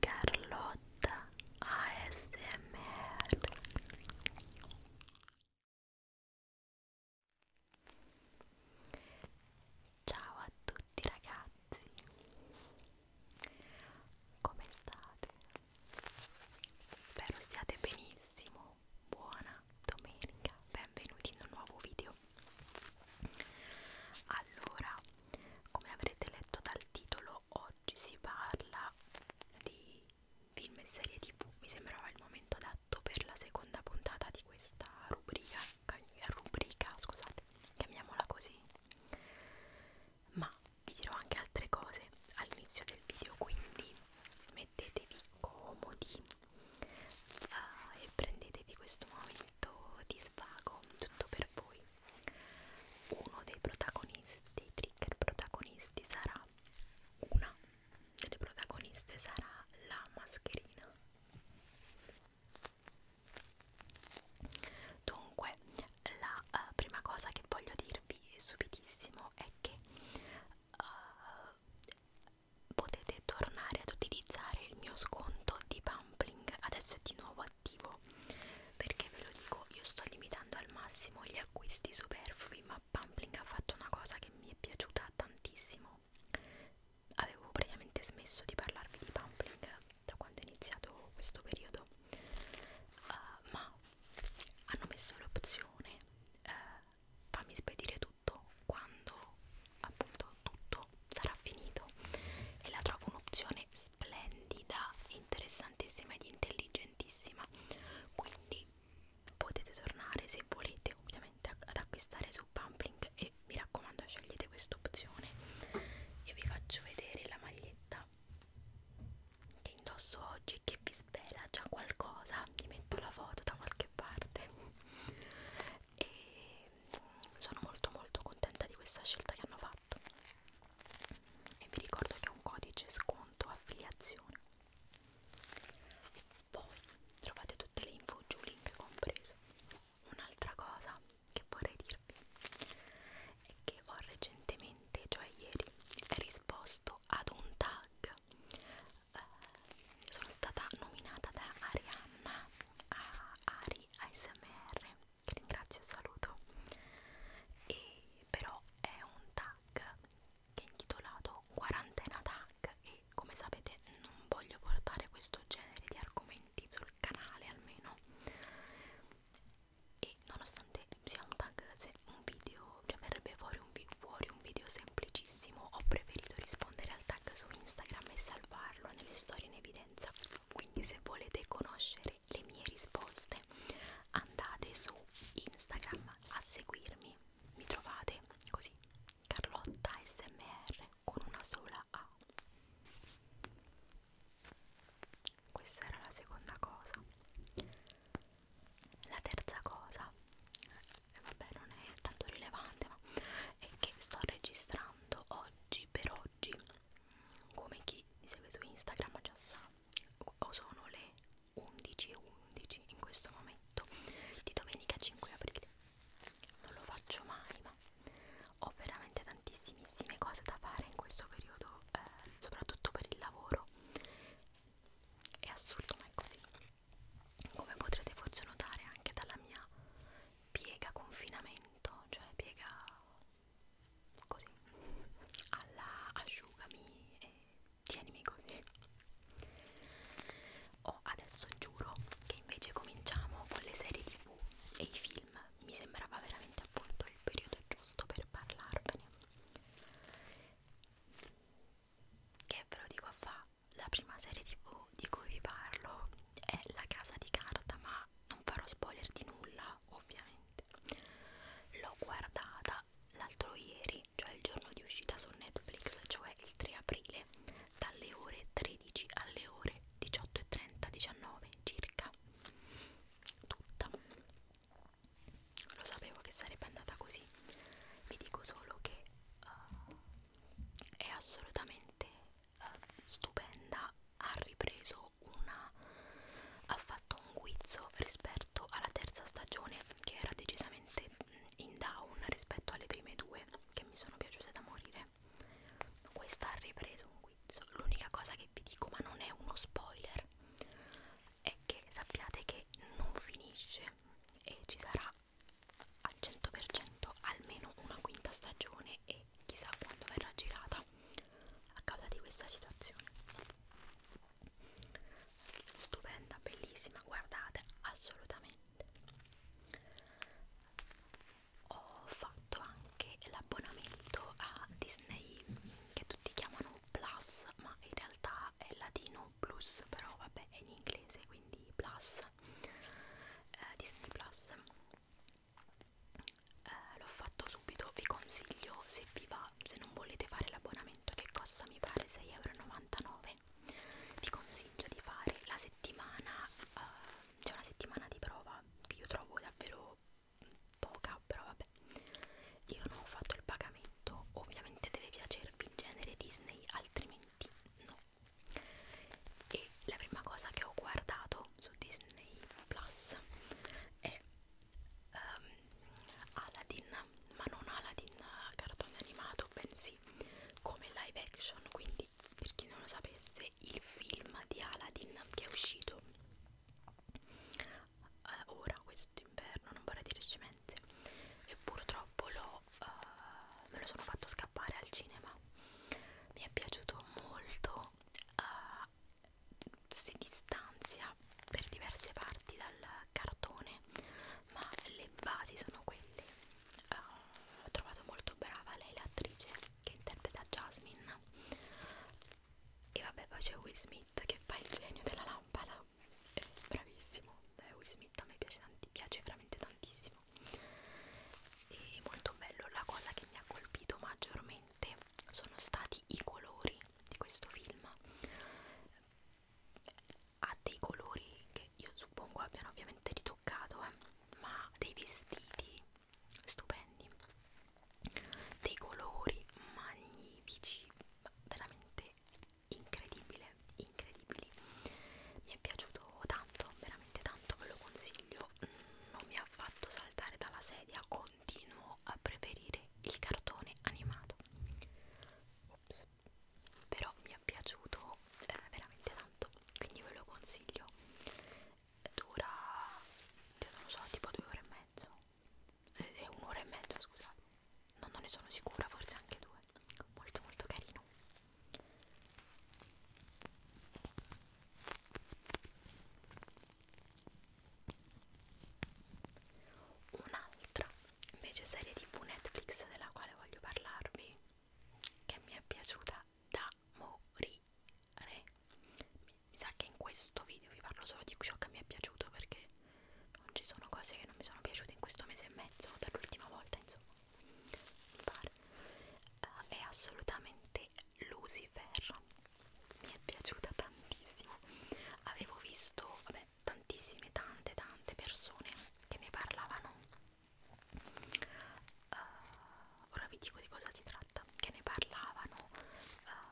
Carlotta ASMR Ciao a tutti ragazzi Come state? Spero stiate benissimo buona domenica, benvenuti in un nuovo video. Allora, come avrete letto dal titolo, oggi si parla di film e serie tv. Mi sembrava il momento adatto per la seconda puntata di questa rubrica, rubrica scusate, chiamiamola così. Ma vi dirò anche altre cose all'inizio del video, quindi mettetevi comodi uh, e prendetevi questo momento di svago tutto per voi uno dei protagonisti dei trigger protagonisti sarà una delle protagoniste sarà la mascherina dunque la uh, prima cosa che voglio dirvi subitissimo è che uh, potete tornare ad utilizzare il mio sconto di Pumpling adesso è di nuovo attivo perché ve lo dico io sto limitando al massimo gli acquisti superflui ma Pumpling ha fatto una cosa che mi è piaciuta tantissimo avevo praticamente smesso di parlarvi di Pumpling da quando è iniziato questo periodo uh, ma hanno messo l'opzione uh, fammi spedire tutto tutto quando appunto tutto sarà finito e la trovo un'opzione splendida, interessantissima ed intelligentissima quindi potete tornare se volete ovviamente ad acquistare su Pumpling e mi raccomando scegliete questa opzione io vi faccio vedere la maglietta che indosso oggi e che vi spera già qualcosa ti metto la foto da qualche parte e sono molto molto contenta di questa scelta che hanno fatto e vi ricordo che ho un codice sconto affiliazione poi trovate tutte le info giù link compreso un'altra cosa che vorrei dirvi è che ho recentemente cioè ieri risposto ad un tag Black eh, sono stata nominata da Arianna a Ari ASMR che ringrazio e saluto e però è un tag che è intitolato quarantena tag e come sapete non voglio portare questo genere di argomenti sul canale almeno e nonostante sia un tag, se un video cioè verrebbe fuori un, fuori un video semplicissimo ho preferito rispondere al tag su Instagram e salvarlo nelle storie in evidenza quindi se volete conoscere le mie risposte andate su Instagram a seguirmi mi trovate così Carlotta SMR con una sola A questa era la seconda cosa la terza cosa eh, vabbè non è tanto rilevante ma è che sto registrando oggi per oggi come chi mi segue su Instagram già sa o sono le 11.11 11 in questo momento di domenica 5 aprile non lo faccio mai ma ho veramente tantissime cose da fare in questo periodo eh, soprattutto per il lavoro è assurdo ma è così come potrete forse notare anche dalla mia piega confinamento cioè piega così alla asciugami e tienimi così oh adesso giuro che invece cominciamo con le serie tv e i film mi sembrava veramente appunto il periodo giusto per parlarvene che ve lo dico a fa la prima serie tv di cui vi parlo è La casa di carta ma non farò spoiler di nulla ovviamente l'ho guardata l'altro ieri cioè il giorno di uscita su Netflix cioè il 3 aprile dalle ore 13 alle ore 18.30 19 circa tutta lo sapevo che sarebbe andata così vi dico solo che uh, è assolutamente uh, stupenda ha ripreso una ha fatto un guizzo rispetto alla terza stagione che era decisamente mm, in down rispetto alle prime due che mi sono piaciute da morire questa ha ripreso un guizzo l'unica cosa che vi dico ma non è uno spoiler è che sappiate che non finisce e ci sarà al 100% almeno una quinta stagione e chissà quando verrà girata a causa di questa situazione stupenda bellissima guardate assolutamente ho fatto anche l'abbonamento a Disney che tutti chiamano Plus ma in realtà è latino plus però vabbè è in inglese quindi plus eh, Disney plus eh, l'ho fatto subito vi consiglio se vi va se non volete fare l'abbonamento che costa mi pare 6,99€ vi consiglio di fare la settimana eh, c'è cioè una settimana di prova che io trovo davvero poca però vabbè io non ho fatto il pagamento ovviamente deve piacervi film genere Disney, altrimenti no. E la prima cosa che ho guardato su Disney Plus è um, Aladdin, ma non Aladdin cartone animato, bensì come live action. Quindi, per chi non lo sapesse, il film di Aladdin che è uscito eh, ora quest'inverno, non vorrei dire scemenze e purtroppo lo, eh, me lo sono fatto scappare al cinema mi è piaciuto molto eh, si distanzia per diverse parti dal cartone ma le basi sono quelle eh, ho trovato molto brava lei l'attrice che interpreta Jasmine e vabbè poi c'è Will Smith che fa il genio della lampada Smith, è bravissimo, eh, Will Smith a me piace, tanti, piace veramente tantissimo e molto bello, la cosa che mi ha colpito maggiormente sono stati i colori di questo film ha dei colori che io suppongo abbiano ovviamente ritoccato eh, ma dei vestiti stupendi dei colori magnifici veramente incredibile, incredibili. Mi è piaciuto tanto, veramente tanto, ve lo consiglio. Non mi ha fatto saltare dalla sedia, continuo a preferire il cartone animato. Ops. Però mi è piaciuto eh, veramente tanto, quindi ve lo consiglio. Dura, io non lo so, tipo due ore e mezzo è un'ora e mezzo scusate no, non ne sono sicura forse anche due molto molto carino un'altra invece serie tv Netflix della quale voglio parlarvi che mi è piaciuta da morire mi sa che in questo video vi parlo solo di ciò che mi è piaciuto perché non ci sono cose che non mi sono piaciute in questo mese e mezzo dall'ultima volta insomma mi pare uh, è assolutamente Lucifer mi è piaciuta tantissimo avevo visto vabbè, tantissime tante tante persone che ne parlavano uh, ora vi dico di cosa si tratta che ne parlavano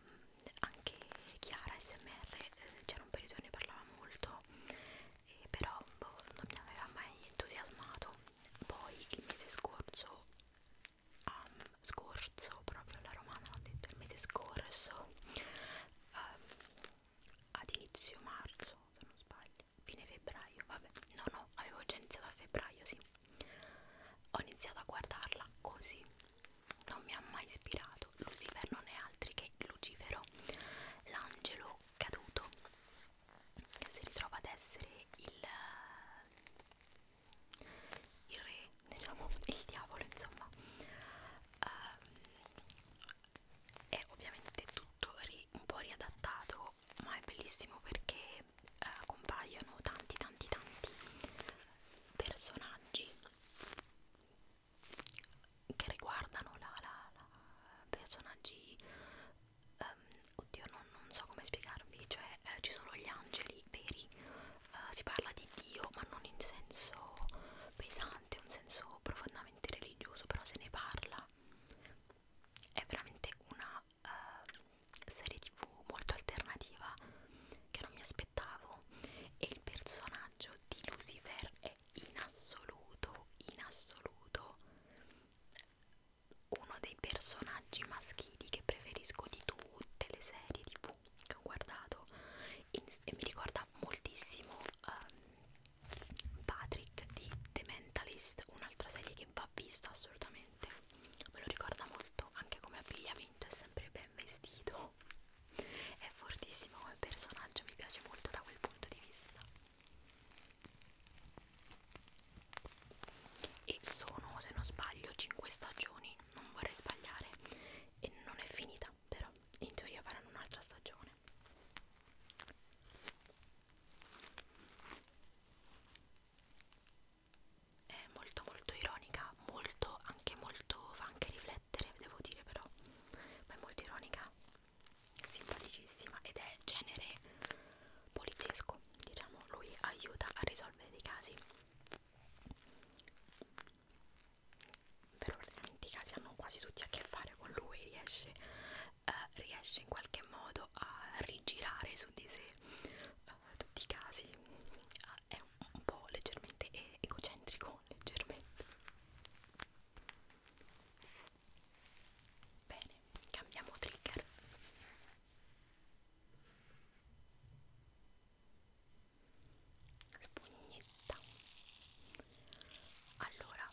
um, anche Chiara SMR eh, c'era un periodo ne parlava molto eh, però boh, non mi aveva mai entusiasmato poi il mese scorso um, scorso proprio la romana l'ho detto il mese scorso um, ad inizio marzo se non sbaglio fine febbraio vabbè no no avevo già iniziato a febbraio sì ho iniziato a guardarla così non mi ha mai ispirato. Lucifer non è altri che Lucifero, l'angelo caduto che si ritrova ad essere il, eh, il re, diciamo, il diavolo, insomma. Uh, è ovviamente tutto ri, un po' riadattato, ma è bellissimo perché uh, compaiono tanti, tanti, tanti personaggi che riguardano la, la, la personaggi um, oddio non, non so come spiegarvi cioè eh, ci sono gli angeli veri uh, si parla di Dio ma non in senso pesante un senso profondamente religioso però se ne parla è veramente una uh, serie tv molto alternativa che non mi aspettavo e il personaggio di Lucifer è in assoluto, in assoluto uno dei personaggi maschili che preferisco di tutte le serie tv che ho guardato in, e mi ricorda moltissimo um, Patrick di The Mentalist, un'altra serie che va vista assolutamente, me lo ricorda molto anche come abbigliamento, è sempre bello ben vestito è fortissimo come personaggio mi piace molto da quel punto di vista e sono se non sbaglio 5 stagioni non vorrei sbagliare e non è finita però in teoria faranno un'altra stagione è molto molto ironica, molto anche molto fa anche riflettere, devo dire però, ma è molto ironica, simpaticissima ed è genere poliziesco, diciamo, lui aiuta a risolvere dei casi. Veramente i casi hanno quasi tutti a che fare con lui, riesce, eh, riesce in qualche modo a rigirare su di sé eh, tutti i casi, a è un, un po' leggermente egocentrico, leggermente. Bene, cambiamo trigger. Spugnetta. Allora,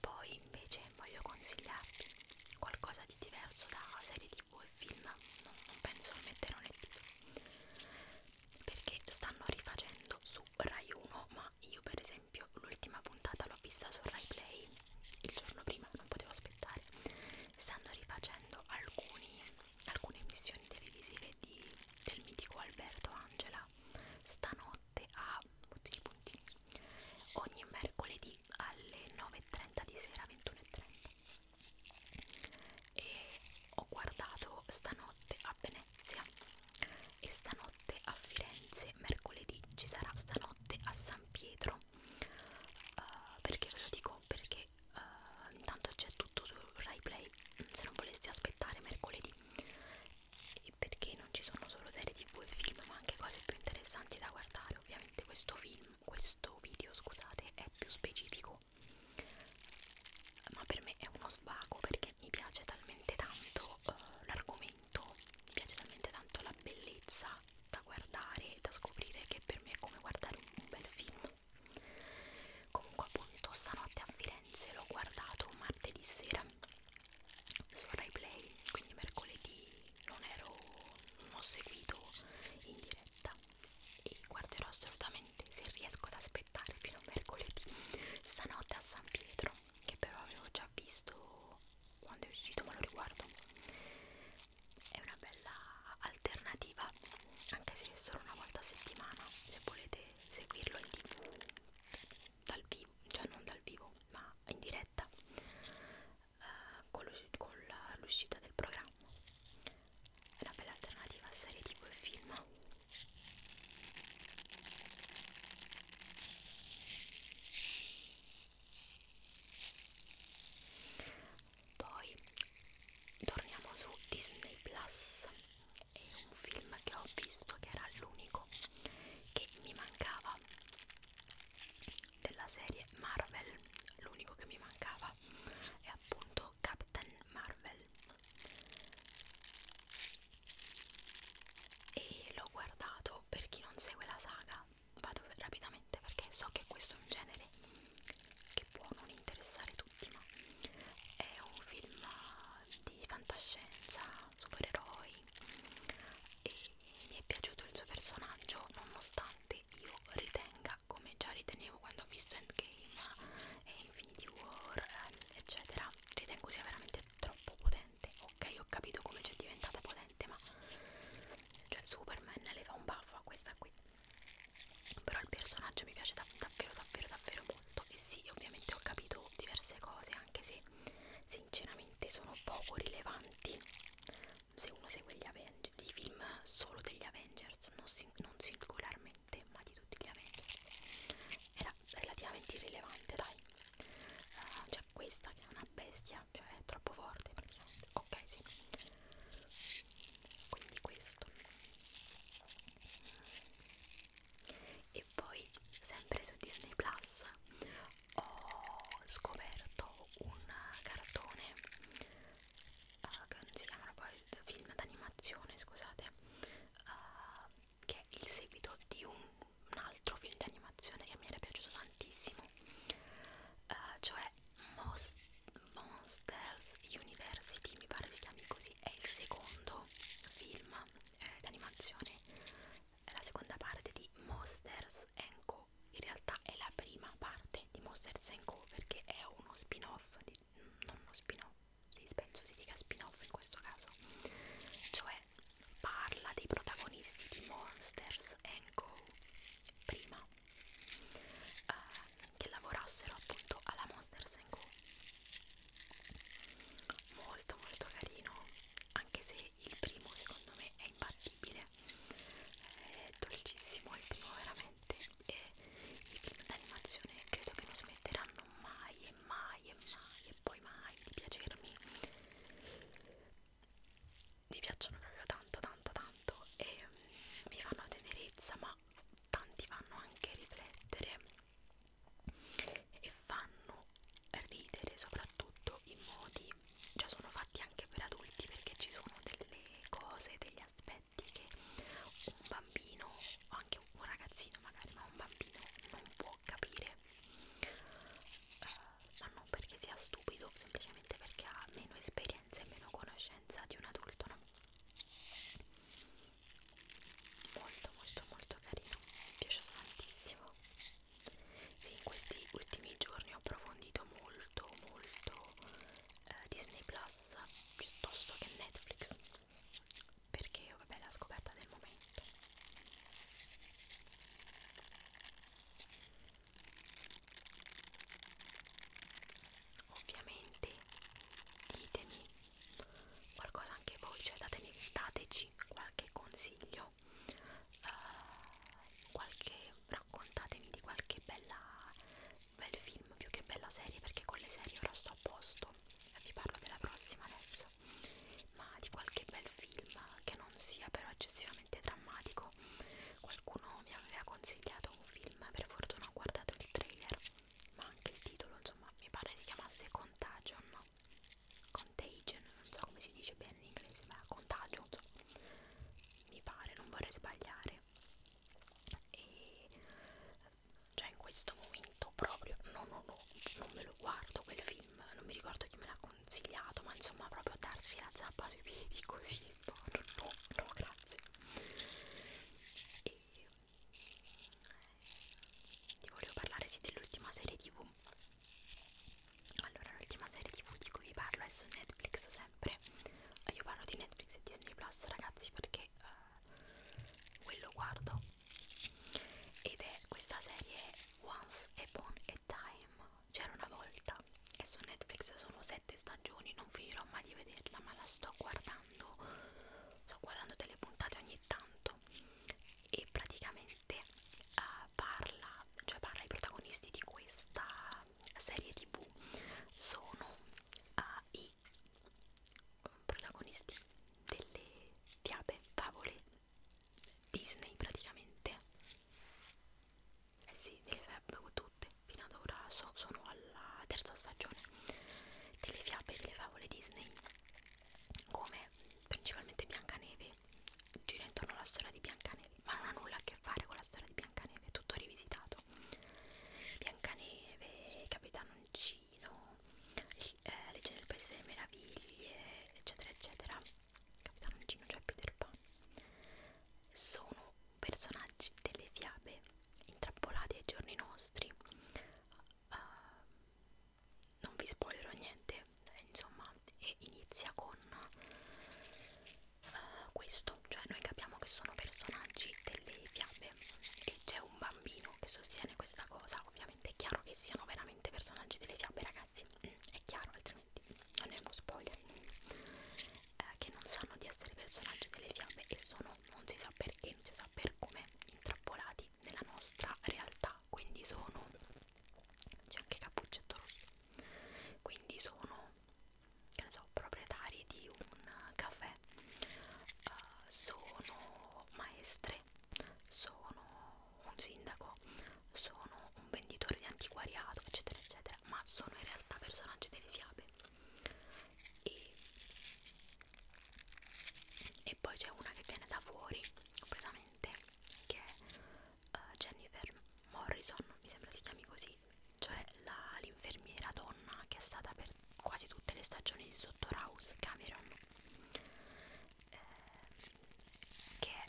poi invece voglio consigliarvi qualcosa di diverso da serie tv e film. Non, non penso a mettere un etto perché stanno rifacendo su Rai 1 ma io per esempio l'ultima puntata l'ho vista su Rai Play il giorno prima non potevo aspettare stanno rifacendo alcuni, alcune emissioni televisive di, del mitico Alberto Angela stanotte a puntini puntini ogni mercoledì alle 9.30 di sera 21.30 e ho guardato stanotte a Venezia e stanotte a Firenze mercoledì ci sarà stanotte a San Pietro uh, perché ve lo dico perché uh, intanto c'è tutto su RaiPlay se non voleste aspettare mercoledì e perché non ci sono solo serie tv e film ma anche cose più interessanti da guardare ovviamente questo film questo video scusate è più specifico svago ma per me è uno svago perché mi piace talmente tanto uh, l'argomento mi piace talmente tanto la bellezza da guardare da scoprire che per me è come guardare un, un bel film comunque appunto stanotte a Firenze l'ho guardato martedì sera su Rai Play quindi mercoledì non ero non ho seguito in diretta e guarderò assolutamente veramente se riesco ad aspettare fino a mercoledì stanotte a San Pietro che però avevo già visto quando è uscito ma lo riguardo è una bella alternativa anche se è solo una volta a settimana se volete seguirlo in tv dal vivo cioè non dal vivo ma in diretta eh, con l'uscita del programma è una bella alternativa a serie tipo e film poi torniamo su Disney Plus è un film che ho visto che era l'unico che mi mancava della serie Marvel l'unico che mi mancava è appunto detto Captain Marvel e l'ho guardato per chi non segue la saga vado rapidamente perché so che questo è un genere che può non interessare tutti ma è un film di fantascienza supereroi e mi è piaciuto il suo personaggio nonostante io ritenga guarda come già ritenevo quando ho visto Endgame e Infinity War eccetera ritengo sia veramente troppo potente ok ho capito come c'è diventata potente ma cioè Superman le fa un baffo a questa qui però il personaggio mi piace dav davvero davvero davvero molto e sì ovviamente ho capito diverse cose anche se sinceramente sono poco rilevanti se uno segue gli Avengers, i film solo degli Avengers, non, si, non singolarmente, ma di tutti gli Avengers, era relativamente irrilevante, dai. Uh, cioè questa che è una bestia, cioè è troppo forte praticamente. Ok, sì. Quindi questo. E poi, sempre su Disney Plus, ho scoperto un cartone uh, che non si chiamano poi film d'animazione scusate uh, che è il seguito di un, un altro film di animazione che mi era piaciuto tantissimo uh, cioè Most, Monsters University mi pare si chiami così è il secondo film eh, d'animazione la seconda parte di Monsters Co Show in realtà è la prima parte di Monsters Co perché è uno spin-off mm, non uno spin-off sì, penso si dica spin-off in questo caso cioè parla dei protagonisti di Monsters Co prima eh, che lavorassero appunto alla Monsters Co molto molto carino anche se il primo secondo me è imbattibile è dolcissimo il primo veramente veramente eh, i film d'animazione credo che non smetteranno mai e mai e mai e poi mai di piacermi mi piacciono proprio tanto tanto tanto e um, mi fanno tenerezza ma tanti vanno anche a riflettere e fanno ridere soprattutto in modi cioè sono fatti anche per adulti perché ci sono delle cose degli aspetti che un bambino o anche un ragazzino magari ma un bambino non può capire uh, ma non perché sia stupido semplicemente perché ha meno esperienza e meno conoscenza di un adulto no? molto molto molto carino mi è piaciuto tantissimo sì, in questi ultimi giorni ho approfondito molto molto eh, Disney Plus piuttosto che Netflix perché vabbè è la scoperta del momento ovviamente ditemi qualcosa anche voi cioè datemi, dateci qualche consiglio eh, qualche raccontatemi di qualche bella bel film più che bella serie perché con le serie ora sto a posto e vi parlo della prossima adesso ma di qualche bel film che non sia però eccessivamente drammatico qualcuno mi aveva consigliato un film per fortuna ho guardato il trailer ma anche il titolo insomma mi pare si chiamasse Contagion no? Contagion non so come si dice bene in inglese ma Contagion insomma. mi pare non vorrei sbagliare male e cioè in questo momento proprio no, no, no, non me lo guardo quel film, non mi ricordo chi me l'ha consigliato, ma insomma proprio darsi la zappa sui piedi così, no, no, no, grazie. E eh, ti volevo parlare sì dell'ultima serie tv. Allora l'ultima serie tv di cui vi parlo è su Netflix, se sempre eh, io parlo di Netflix e Disney Plus ragazzi perché uh, quello guardo ed è questa serie Once Upon a Time c'era una volta e su Netflix sono sette stagioni non finirò mai di vederla ma la sto guardando sto guardando delle puntate ogni tanto e praticamente uh, parla cioè parla ai protagonisti di questa serie tv sono uh, i protagonisti delle fiabe, favole Disney praticamente eh sì, delle fiabe tutte fino ad ora so, sono alla terza stagione delle fiabe e delle favole Disney come principalmente Biancaneve gira intorno alla storia di Biancaneve ma non ha nulla a che fare con la storia di Biancaneve, è tutto rivisitato. Biancaneve, Capitanoncino, eh, Legge nel Paese delle Meraviglie, eccetera, eccetera. Capitanoncino, cioè Peter Pan, sono personaggi delle fiabe intrappolati ai giorni nostri. Uh, non vi spoilerò niente, eh, insomma, e inizia con uh, questo, cioè noi capiamo che sono personaggi delle fiabe e c'è un bambino che sostiene questa cosa, ovviamente è chiaro che siano veramente personaggi delle fiabe ragazzi, è chiaro altrimenti non è uno spoiler, uh, che non sanno di essere personaggi delle fiabe e sono, non si sa perché, non si sa per come, intrappolati nella nostra realtà, quindi sono, c'è anche cappuccetto rosso, quindi sono che ne so, proprietari di un caffè uh, sono maestre, sono un sindaco, sono un venditore di antiquariato, eccetera, eccetera, ma sono in realtà personaggi delle fiabe. E, e poi c'è una che viene da fuori completamente, che è uh, Jennifer Morrison, mi sembra si chiami così, cioè l'infermiera donna che è stata per quasi tutte le stagioni di Sottohouse Cameron, eh, che è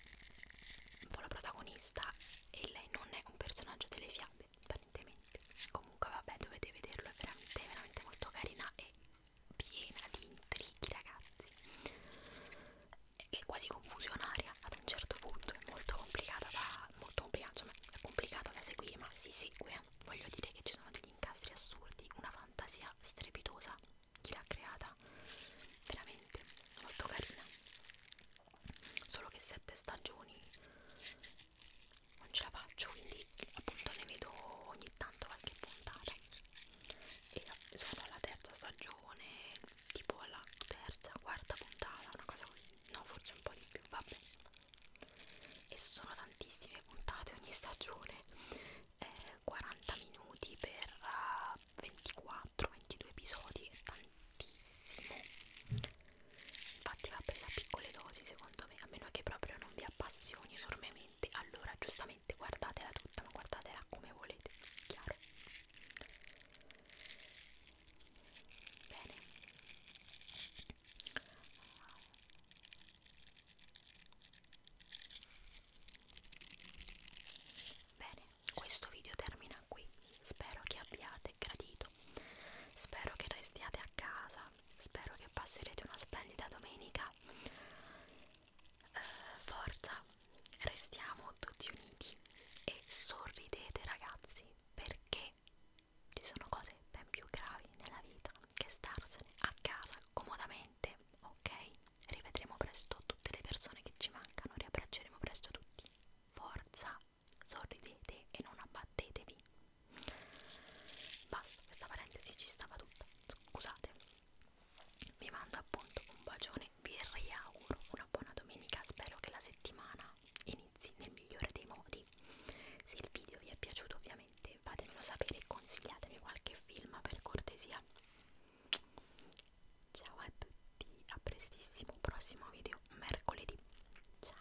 un po' la protagonista e lei non è un personaggio delle fiabe, apparentemente. Comunque vabbè, dovete vederlo, è veramente, veramente molto carina e piena di intrighi ragazzi è quasi confusionaria ad un certo punto, è molto complicata da, molto complicata, insomma, è complicata da seguire, ma si segue. Voglio dire che ci sono degli incastri assurdi, una fantasia strepitosa, chi l'ha creata, veramente molto carina. Solo che sette stagioni non ce la faccio, quindi appunto ne vedo ogni tanto qualche puntata. E sono la terza stagione, tipo alla terza, quarta puntata, una cosa così, no forse un po' di più, vabbè e sono tantissime puntate ogni stagione eh, 40 minuti per uh, eh, 24-22 episodi è tantissimo infatti va presa a piccole dosi secondo me a meno che proprio non vi appassioni enormemente allora giustamente guardatela tutta ma guardatela come volete chiaro Bene. Bene, questo video termina qui. Spero che abbiate gradito. Spero che restiate a casa. Spero che passerete una splendida domenica. Uh, forza, restiamo tutti uniti e sorridete ragazzi perché ci sono cose ben più gravi nella vita che starsene a casa comodamente, ok? Rivedremo presto tutte le persone che ci mancano, riabbracceremo presto tutti. Forza, sorridete e non abbattetevi. Basta, questa parentesi ci stava tutta. Scusate vi mando appunto un bacione, vi riauguro una buona domenica, spero che la settimana inizi nel migliore dei modi. Se il video vi è piaciuto ovviamente fatemelo sapere e consigliatemi qualche film per cortesia. Ciao a tutti, a prestissimo, prossimo video mercoledì. Ciao.